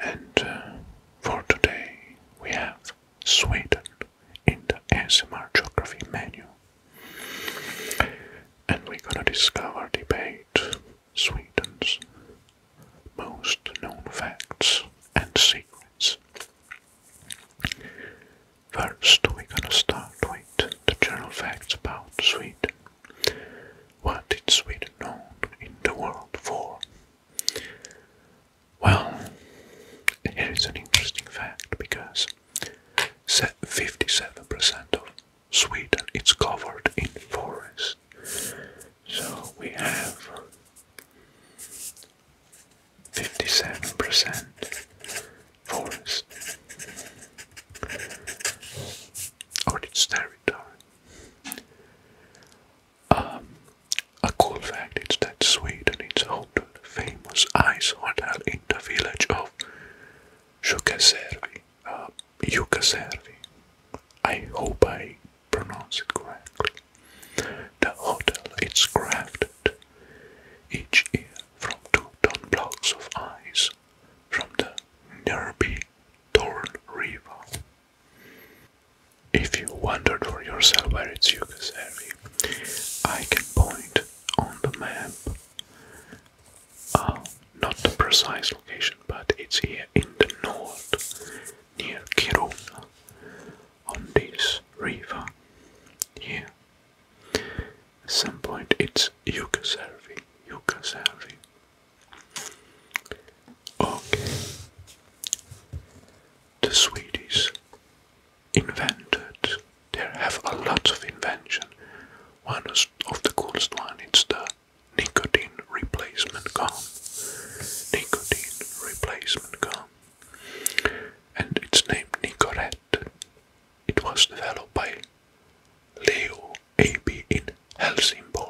And uh, for today we have Sweden in the ASMR geography menu. And we're gonna discover, debate Sweden's most known facts and secrets. First, we're gonna start with the general facts about Sweden. What is Sweden known in the world for? Well, here is an interesting fact because 57% of Sweden is covered in forest. So we have 57% forest on its territory. Um, a cool fact is that Sweden is home famous ice hotel in the village of Jukaservi. Uh, I hope I pronounce it correctly. The hotel is crafted each year from two ton blocks of ice from the nearby Torn River. If you wondered for yourself where it's Yugoslavia, I can point on the map, uh, not the precise location, but it's here in the north, near Kiruna, on this river here. At some point it's Yugoslavia, Yugoslavia, Okay. The Swedes invented. They have a lot of invention. One of the coolest one is the nicotine replacement gum. Nicotine replacement gum. And it's named Nicorette. It was developed by Leo AB in Helsingborg.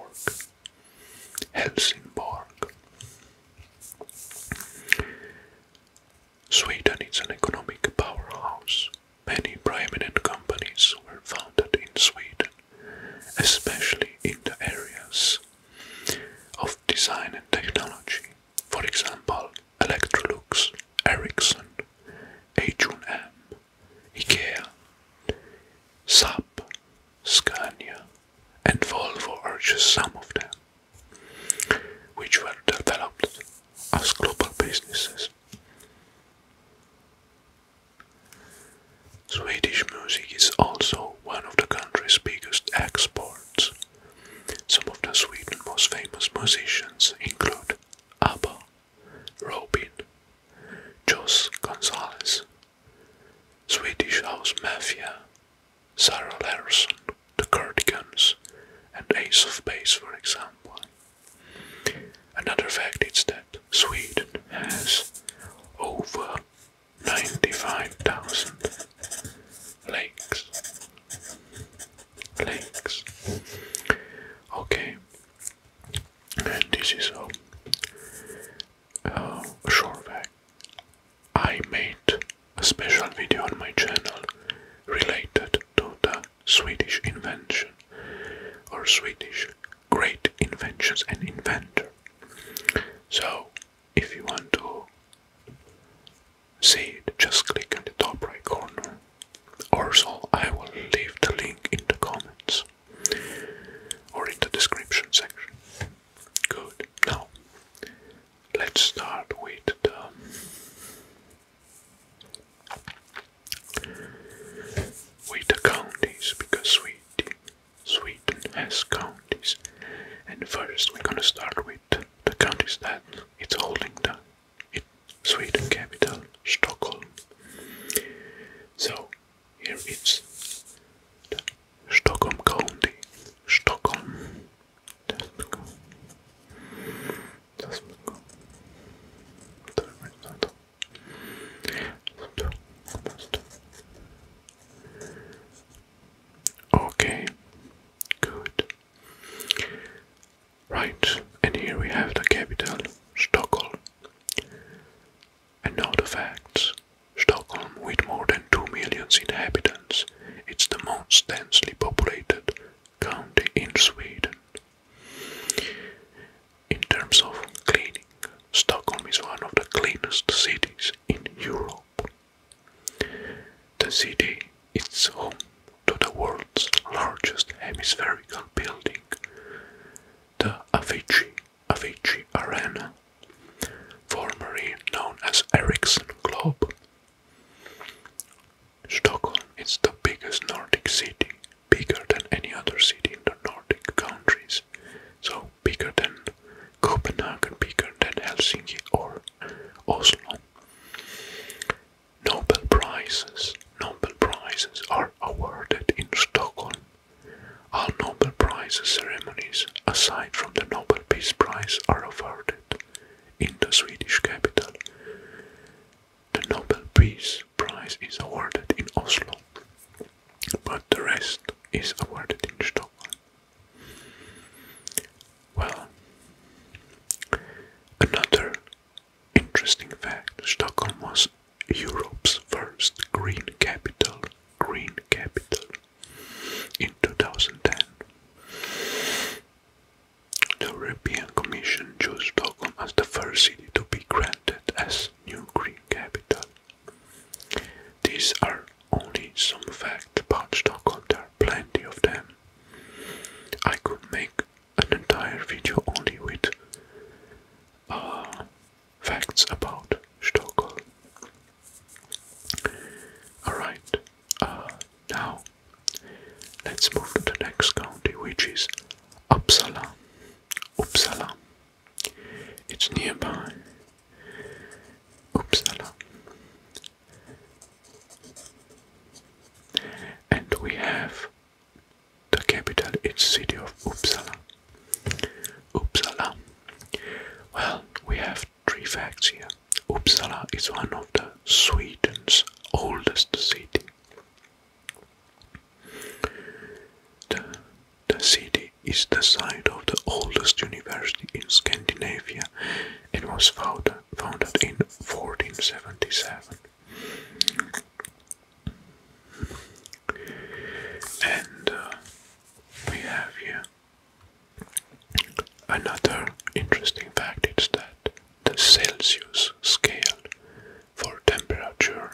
Helsingborg. Sweden is an economic powerhouse. Many prominent companies were founded in Sweden, especially in the areas of design and technology. For example, Electrolux, Ericsson, H1M, Ikea, SAP, Scania, and Volvo are just some of them, which were developed as global businesses. Swedish music is also one of the country's biggest exports. Some of the Sweden's most famous musicians include ABBA, Robin, Jos Gonzalez, Swedish House Mafia, Sarah Larson, The Cardigans, and Ace of Base, for example. Another fact is that Sweden has over 95,000 lakes. Lakes. Okay, and this is all uh, I made a special video on my channel related to the Swedish invention or Swedish great inventions and inventor. So, if you want to see it, just click in the top right corner. Also, I will leave the link in the comments or in the description section. Good. Now, let's start with the with the counties because Sweden, Sweden has counties, and first we're gonna start with the counties that it's holding the it, Sweden capital Stockholm. So here it's Stockholm County. Stockholm. Okay, good. Right, and here we have the capital, Stockholm. And now the facts. Stockholm, with more than 2 million inhabitants, it's the most densely populated county in Sweden. In terms of cleaning, Stockholm is one of the cleanest cities in Europe. The city is home to the world's largest hemispherical building, the Avicii Avicii Arena, formerly known as Ericsson Globe. Stockholm is the biggest Nordic city, bigger than any other city in the Nordic countries, so bigger than Copenhagen, bigger than Helsinki or Oslo. Nobel Prizes, Nobel Prizes are awarded in Stockholm all Nobel Prize ceremonies, aside from the Nobel Peace Prize, are awarded in the Swedish capital. The Nobel Peace Prize is awarded in Oslo, but the rest is awarded in Stockholm. Well, another interesting fact Stockholm was Europe's first green capital, Green Capital, in 2010. The European Commission chose Stockholm as the first city to be granted as new green capital. These are only some facts about Stockholm, there are plenty of them. I could make an entire video only with uh, facts about Stockholm. Alright, uh, now let's move to the next county, which is Uppsala. Uppsala. It's nearby. Uppsala. And we have the capital, its city of Uppsala. Uppsala. Well, we have three facts here. Uppsala is one of the Sweden's oldest cities. The, city is the site of the oldest university in Scandinavia and was founded in 1477. And uh, we have here another interesting fact is that the Celsius scale for temperature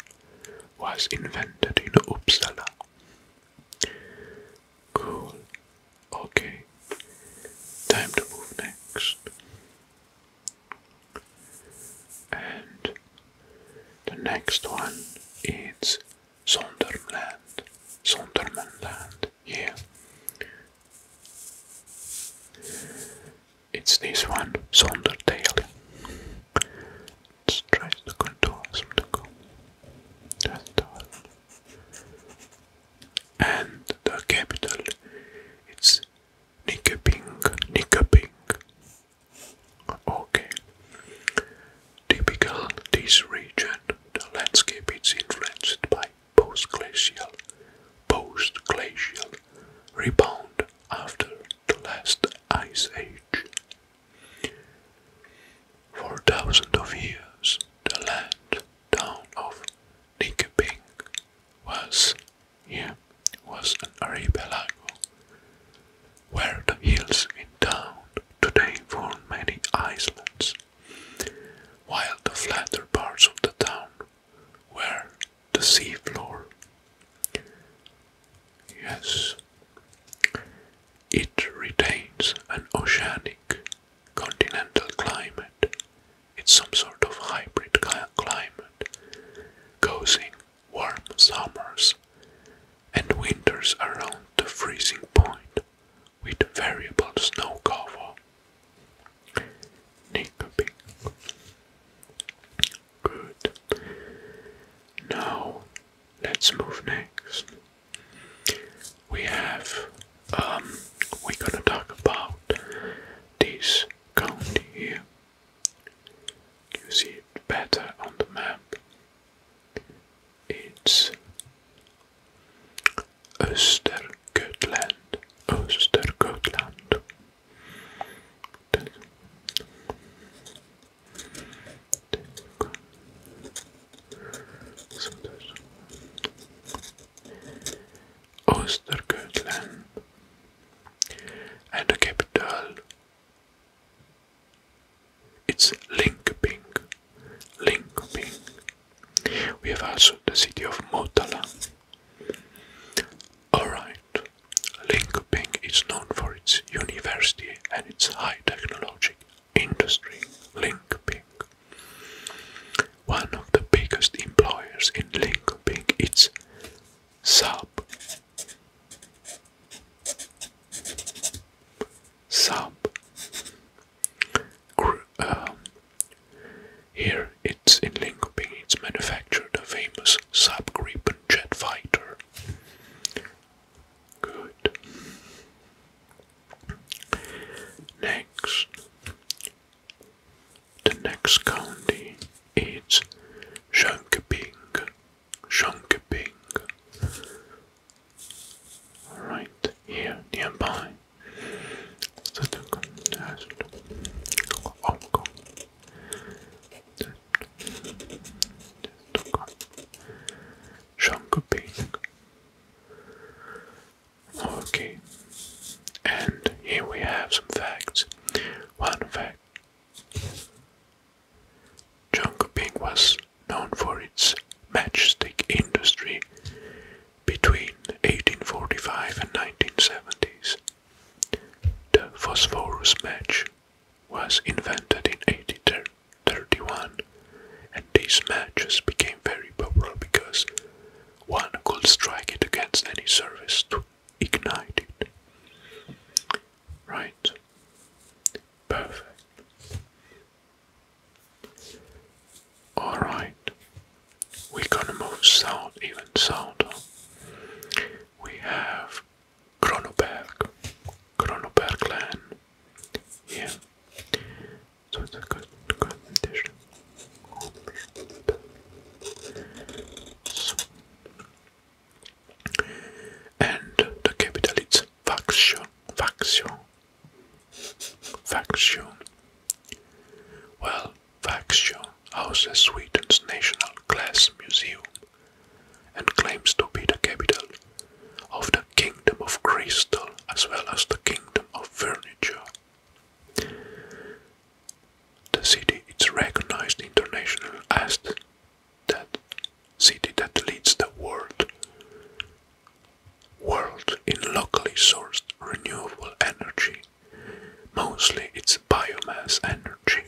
was invented in Uppsala. Cool. Okay. Time to move next. And the next one is Sonderland, Sondermanland, yeah. It's this one, Sonderdale. Let's try to contour some to go. And the capital, it's Nikoping, Nikoping, Okay. Typical this region, the landscape is influenced by post-glacial, post-glacial rebound after the last ice age. For thousands of years, the land town of Nikeping was here was an archipelago where the hills in town today form many islands, while the flatter parts of the town were the seafloor. Yes, it retains an oceanic continental climate. It's some sort of hybrid climate, cozy warm summers and winters around the freezing point with variable snow cover. Nickelback. Good. Now let's move next. We have um we're gonna talk about this county here. You see it better on the map. It's Östergötland. Östergötland. Östergötland and the capital it's Linkping. Linkping. We have also the city of Motala. Alright, Linkping is known for its university and its high technologic industry. Linkping. One of the biggest employers in Linkping is Saab sub. Um, here it's in Linköping, it's manufactured a famous sub Gripen jet fighter. Good. Next, the next county is Jönköping. Shankaping. Right here nearby. Shankaping. Okay, and here we have some facts. One fact Chongqing was known for its matchstick industry between 1845 and 1970s. The phosphorus match was invented in 1831 and these matches became very popular because one could strike it against any surface to ignite it. Right. Perfect. Alright, we're gonna move south, even south. We have Kronoberg, Kronoberg Yeah, so it's a good, good condition and the capital is Vaxio. Vaxio. Vaxio. Well, Vaxio houses Sweden's National Glass Museum and claims to be the capital of the Kingdom of Crystal as well as the Kingdom of Furniture. The city is recognized internationally as that city that leads the world world in locally sourced renewable energy. Mostly it's biomass energy.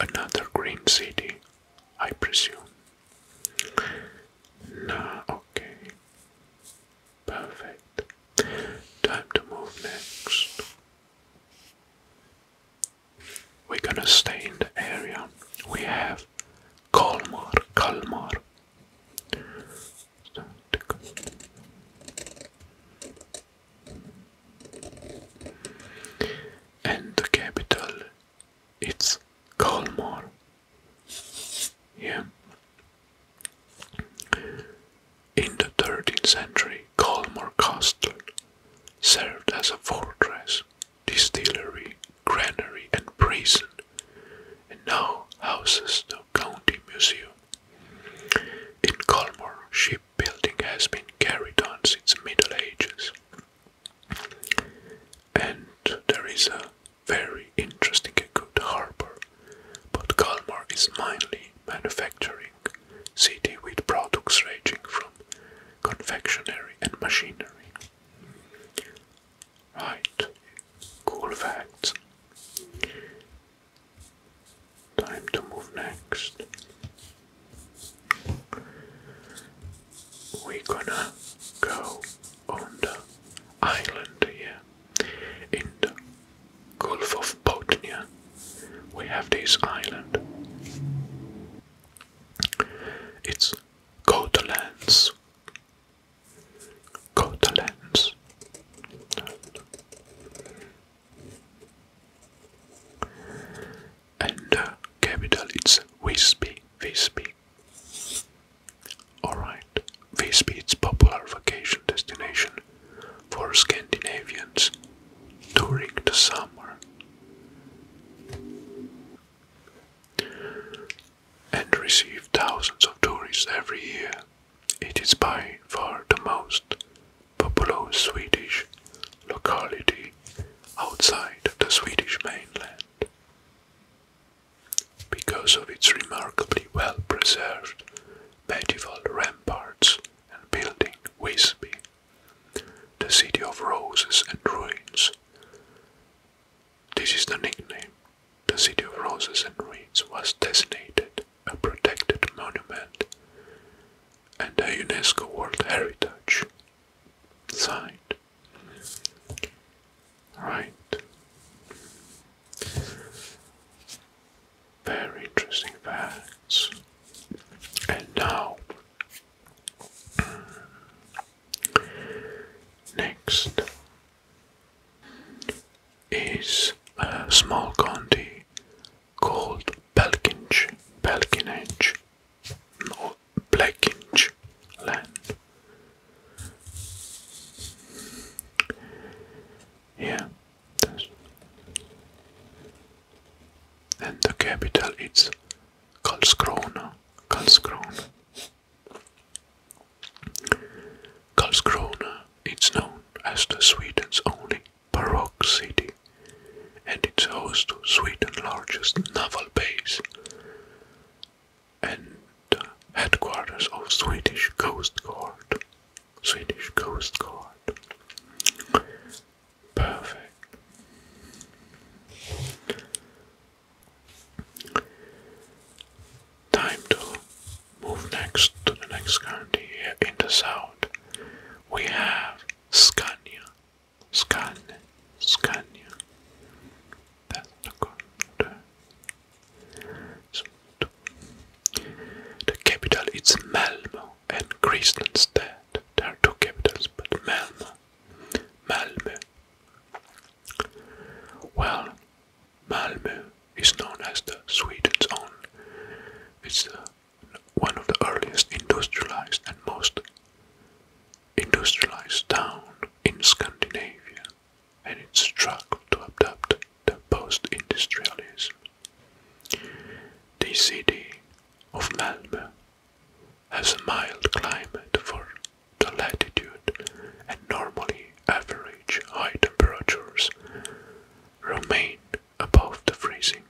Another green city, I presume. Nah, okay. Perfect. Time to move next. We're gonna stay in the area. We have Kalmar, Kalmar. And the capital it's Kalmar. Yeah. In the 13th century, Colmore Castle served as a fortress, distillery, granary, and prison, and now houses the county museum. In Colmore, shipbuilding has been carried on since the Middle Ages, and there is a very interesting and good harbour, but Colmore is mainly manufacturing city with products ranging from confectionery and machinery. Right, cool facts. Time to move next. we gonna go on the island here in the Gulf of Botnia. We have this island. It's Cotalands. Cotalands. And uh, capital it's Visby. Visby. Alright, Visby is popular vacation destination for Scandinavians during the summer. And receive thousands of tourists every year. It is by far the most popular Swedish locality outside the Swedish mainland. Because of its remarkably well preserved medieval ramparts and building Visby the City of Roses and Ruins. This is the nickname. The City of Roses and Ruins was designated a protected monument and a UNESCO World Heritage site. Right. Very interesting facts. And now Next is a small county called Belkinch, Belkinch, or Blackinch Yeah, and the capital is Karlskrona. Karlskrona. Karlskrona is known as the Sweden's only baroque city, and it's host to Sweden's largest naval base and the headquarters of Swedish Coast Guard. Swedish Coast Guard. Perfect. Time to move next to the next county in the south. We have Scania. Scania. Scania. That's the country. The capital is Malmo and Kristianstad. There are two capitals, but Malmö. Well, Malmö is known as the Sweden's own. It's uh, one of the earliest industrialized and most industrialized town in Scandinavia, and it's struggled to adapt the post-industrialism. The city of Malmö has a mild climate for the latitude and normally average high temperatures remain above the freezing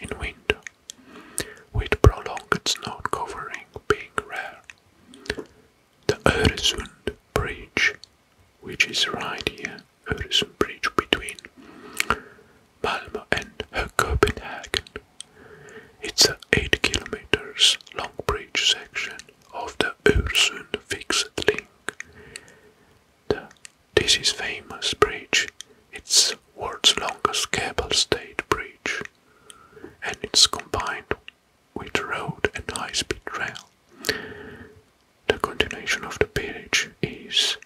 in winter, with prolonged snow covering being rare. The Öresund Bridge, which is right here, Öresund Bridge between Malmo and Copenhagen. It's a 8 kilometers long bridge section of the Öresund fixed link. this is famous bridge. It's world's longest cable state bridge, and it's combined with road and high-speed rail. The continuation of the bridge is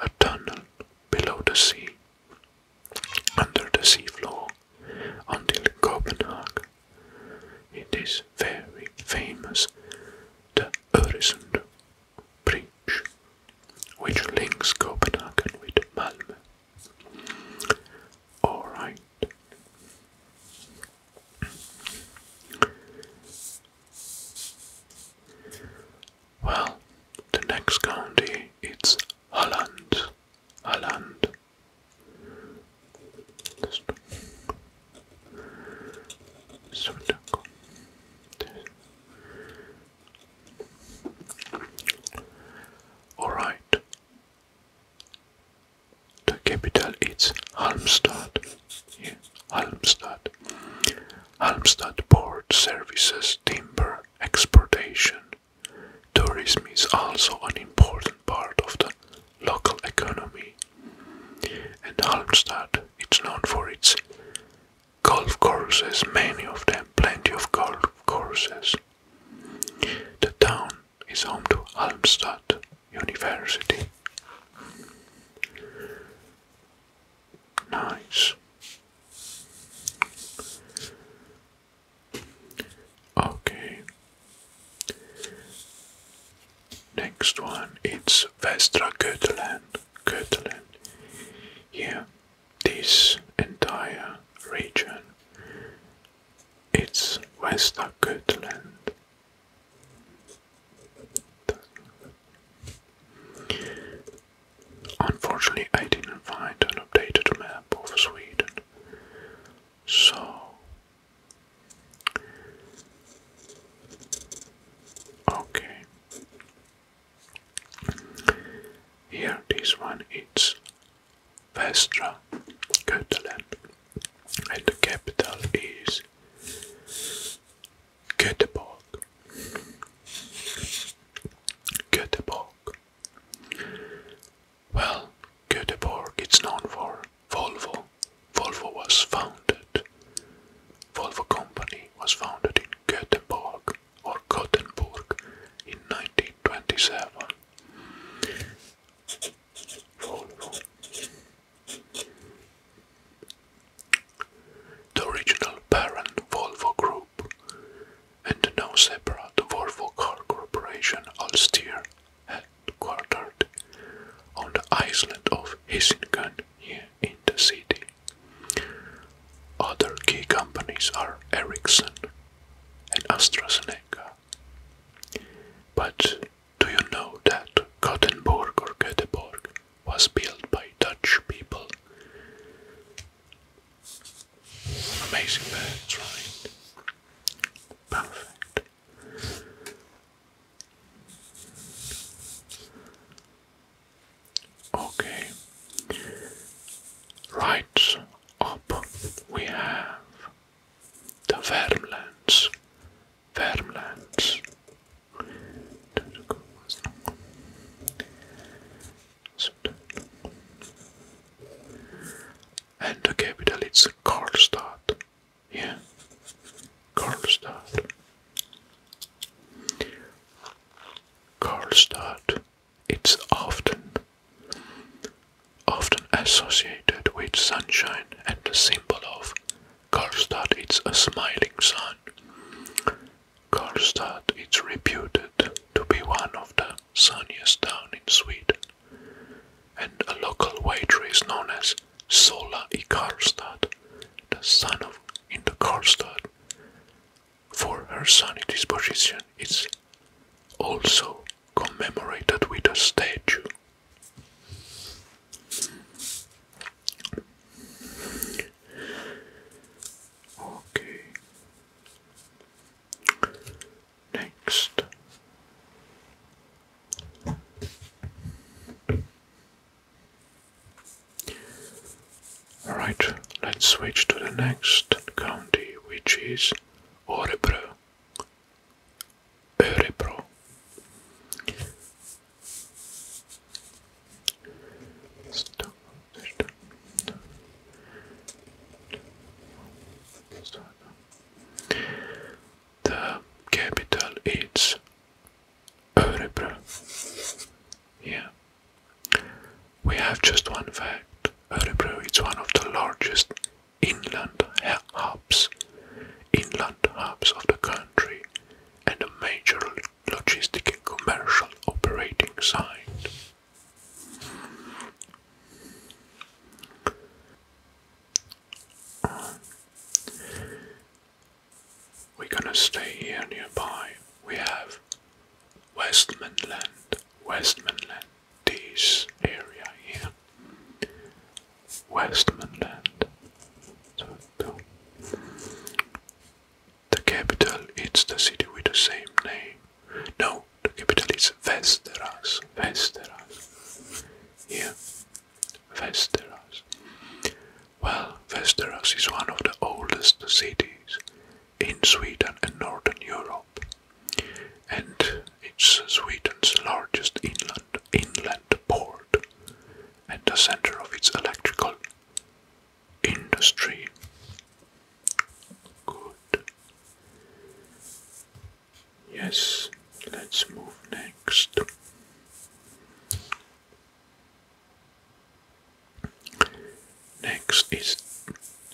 a tunnel below the sea under the seafloor until Copenhagen. It is very famous, the Öresund Bridge, which links Copenhagen with Malmö. Alright. Well, the next county is Holland. Holland. All right. The capital is Halmstad. Halmstad. Halmstad Port services timber exportation. Tourism is also an important part of the local economy. And Halmstad is known for its golf courses, many of them, plenty of golf courses. The town is home to Halmstad University. Nice. Okay. Next one it's Vestra Götaland. Götaland. Yeah, this entire region. It's Vestra Götaland. Unfortunately, I didn't find an updated map of Sweden, so okay. Here, this one is Vestra, Götaland, and the capital is Göteborg. Göteborg. Well, Göteborg it's known for Volvo. Volvo was founded. Volvo Company was founded in Göteborg or Gothenburg in 1927. Volvo. The original parent Volvo Group and now separate Volvo Car Corporation Ulster, headquartered on the island of Hissingen here in the city. Other key companies are Ericsson and AstraZeneca. But do you know that Gothenburg or Göteborg was built by Dutch people? Amazing birds, right? Perfect. Okay. Right up we have the Vermlands. Vermlands. And the capital is Karlstad. Yeah, Karlstad. Karlstad. It's often, often associated with sunshine, and the symbol of Karlstad is a smiling sun. Karlstad is reputed to be one of the sunniest towns in Sweden, and a local waitress known as Sola i Karlstad, the sun of in the Karlstad. For her sunny disposition, is also commemorated with a statue. Okay, Next. Alright, let's switch to the next county, which is Örebro. Örebro. The capital is Örebro. Yeah. We have just one fact. Örebro is one of the largest inland hubs, inland hubs of the country, and a major logistic and commercial operating site. We're gonna stay here nearby. We have Westmanland, Westmanland, this area here. Westmanland. The capital is the city with the same name. No, the capital is Vesteras. Vesteras. Yeah. Vesteras. Well, Vesteras is one of the oldest cities in Sweden and Northern Europe. And it's Sweden's largest inland inland port and the center of its electrical industry. Good. Yes, let's move next. Next is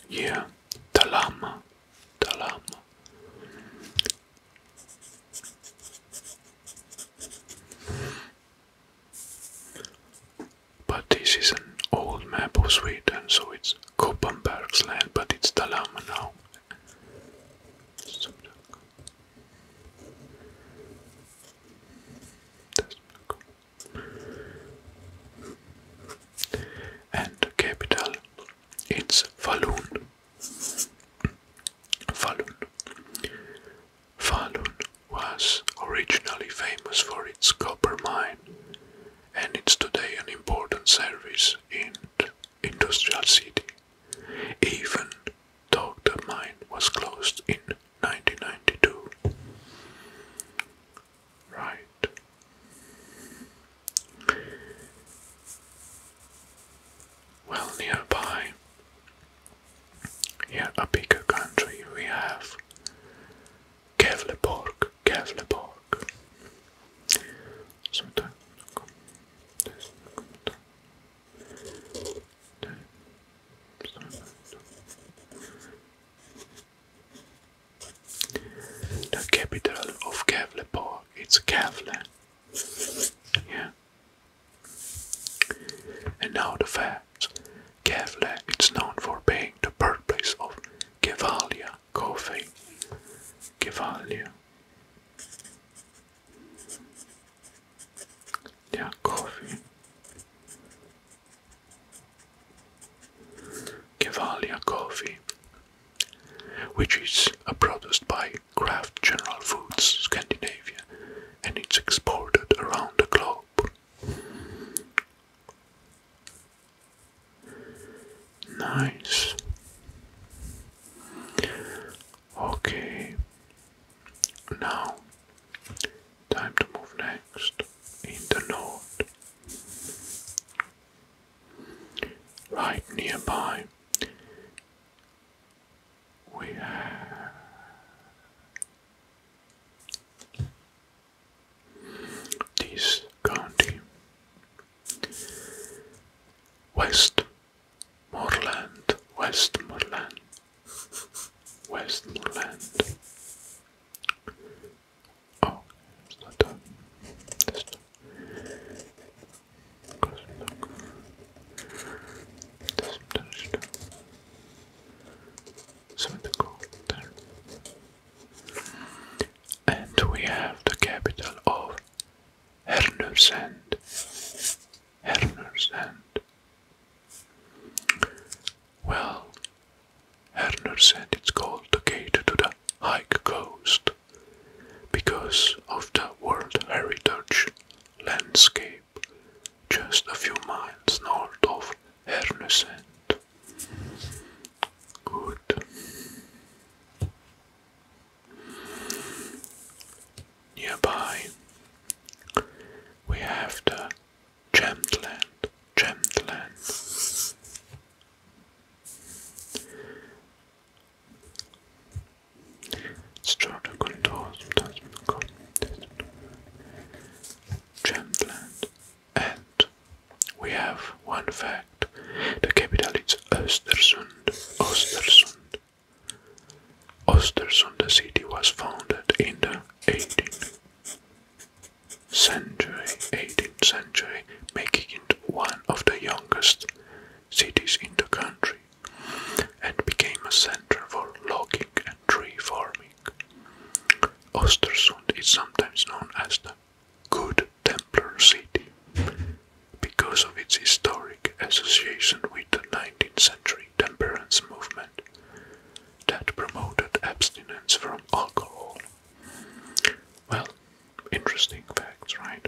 yeah, the llama, but this is an old map of Sweden, so it's Koppenberg's land, but it's Dalarna now. And the capital, it's Falun. Falun. Falun was originally famous for its copper mine and it's today an important service in industrial city, even though the mine was closed in 1992. Right. Well, nearby, here a bigger country, we have Kevleborg, Kevleborg. Sometimes the capital of Kevlepor, it's Kevle. Yeah. And now the facts. Kevle is known for being the birthplace of Gevalia coffee. Gevalia. Yeah, coffee. Gevalia coffee, which is produced by Kraft General Foods Scandinavia and it's exported around the globe. Nice. Okay. Now, time to move next in the north. Right nearby, we have this county. Westmoreland, Westmoreland, Westmoreland. Oh, it's not done. It's not. Something to go there. And we have the capital of Hernersand. Hernersand. Well, Hernersand It's called the gate to the high coast because of the World Heritage landscape just a few miles north of Hernersand. Good. Nearby we have the Gemland, Gemland. Starter Contour, sometimes Gemland. And we have one fact the capital is Östersund. Östersund. Östersund, the city, was founded in the 18th century, 18th century, making it one of the youngest cities in the country and became a center for logging and tree farming king. Ostersund is sometimes known as the Good Templar City because of its historic association with the 19th century temperance movement that promoted abstinence from alcohol. Well, interesting facts, right?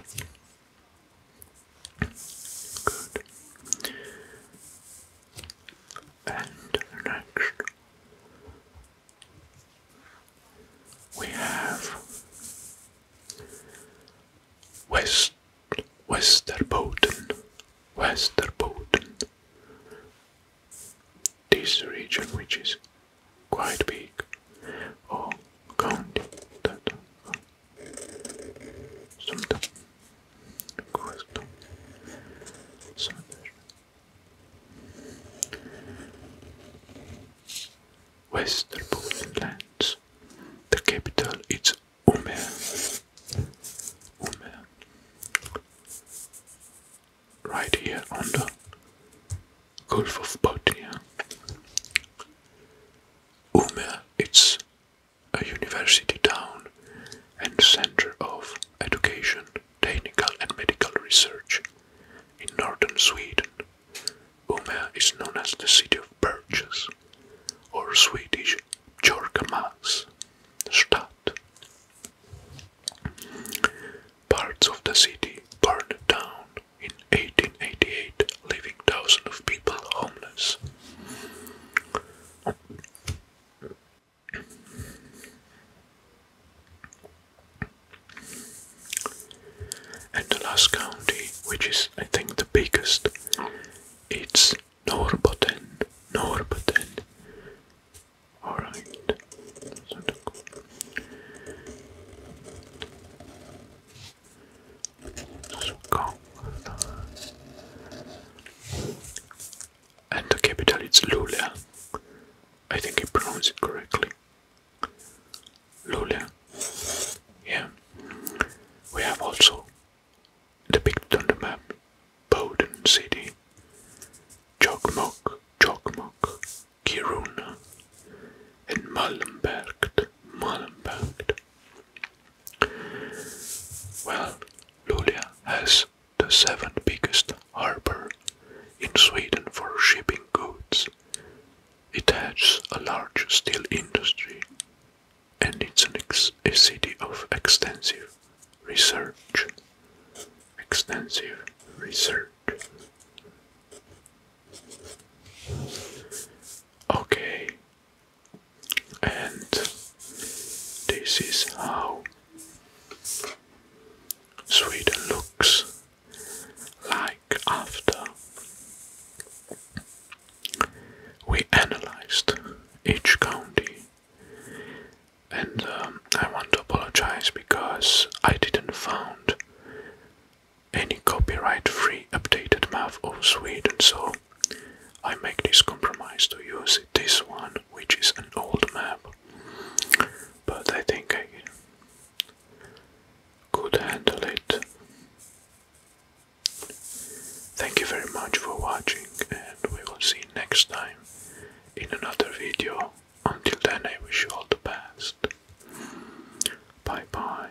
Good. And next, we have West Westerbotten, Westerbotten. This region, which is quite big, or oh, county, that something, question, something. Western Borderlands. The capital is Umeå. Umeå. Right here under Gulf of Bothnia. Umeå it's a university town and center of education technical and medical research. In northern Sweden, Umeå is known as the city of birches, or Swedish Jorkamans stad. Parts of the city burned down in 1888, leaving thousands of people homeless. And the last county, which is I think the biggest, it's Norrbotten. Norrbotten. Alright. And the capital is Luleå. I think I pronounced it correctly. Lula. Yeah. We have also depicted on the map Boden City, Jokmok, Jokmok, Kiruna, and Malmberg. Malmberg. Well, Luleå has the seventh biggest harbour in Sweden for shipping goods. It has a large steel industry and it's an a city of extensive research. Extensive research. Okay, and this is how Sweden looks like after we analyzed each county. And um, I want to apologize because I didn't found any copyright-free updated map of Sweden, so I make this compromise to use this one, which is an old map, but I think I could handle it. Thank you very much for watching, and we will see you next time in another video. Until then, I wish you all the best. Bye bye.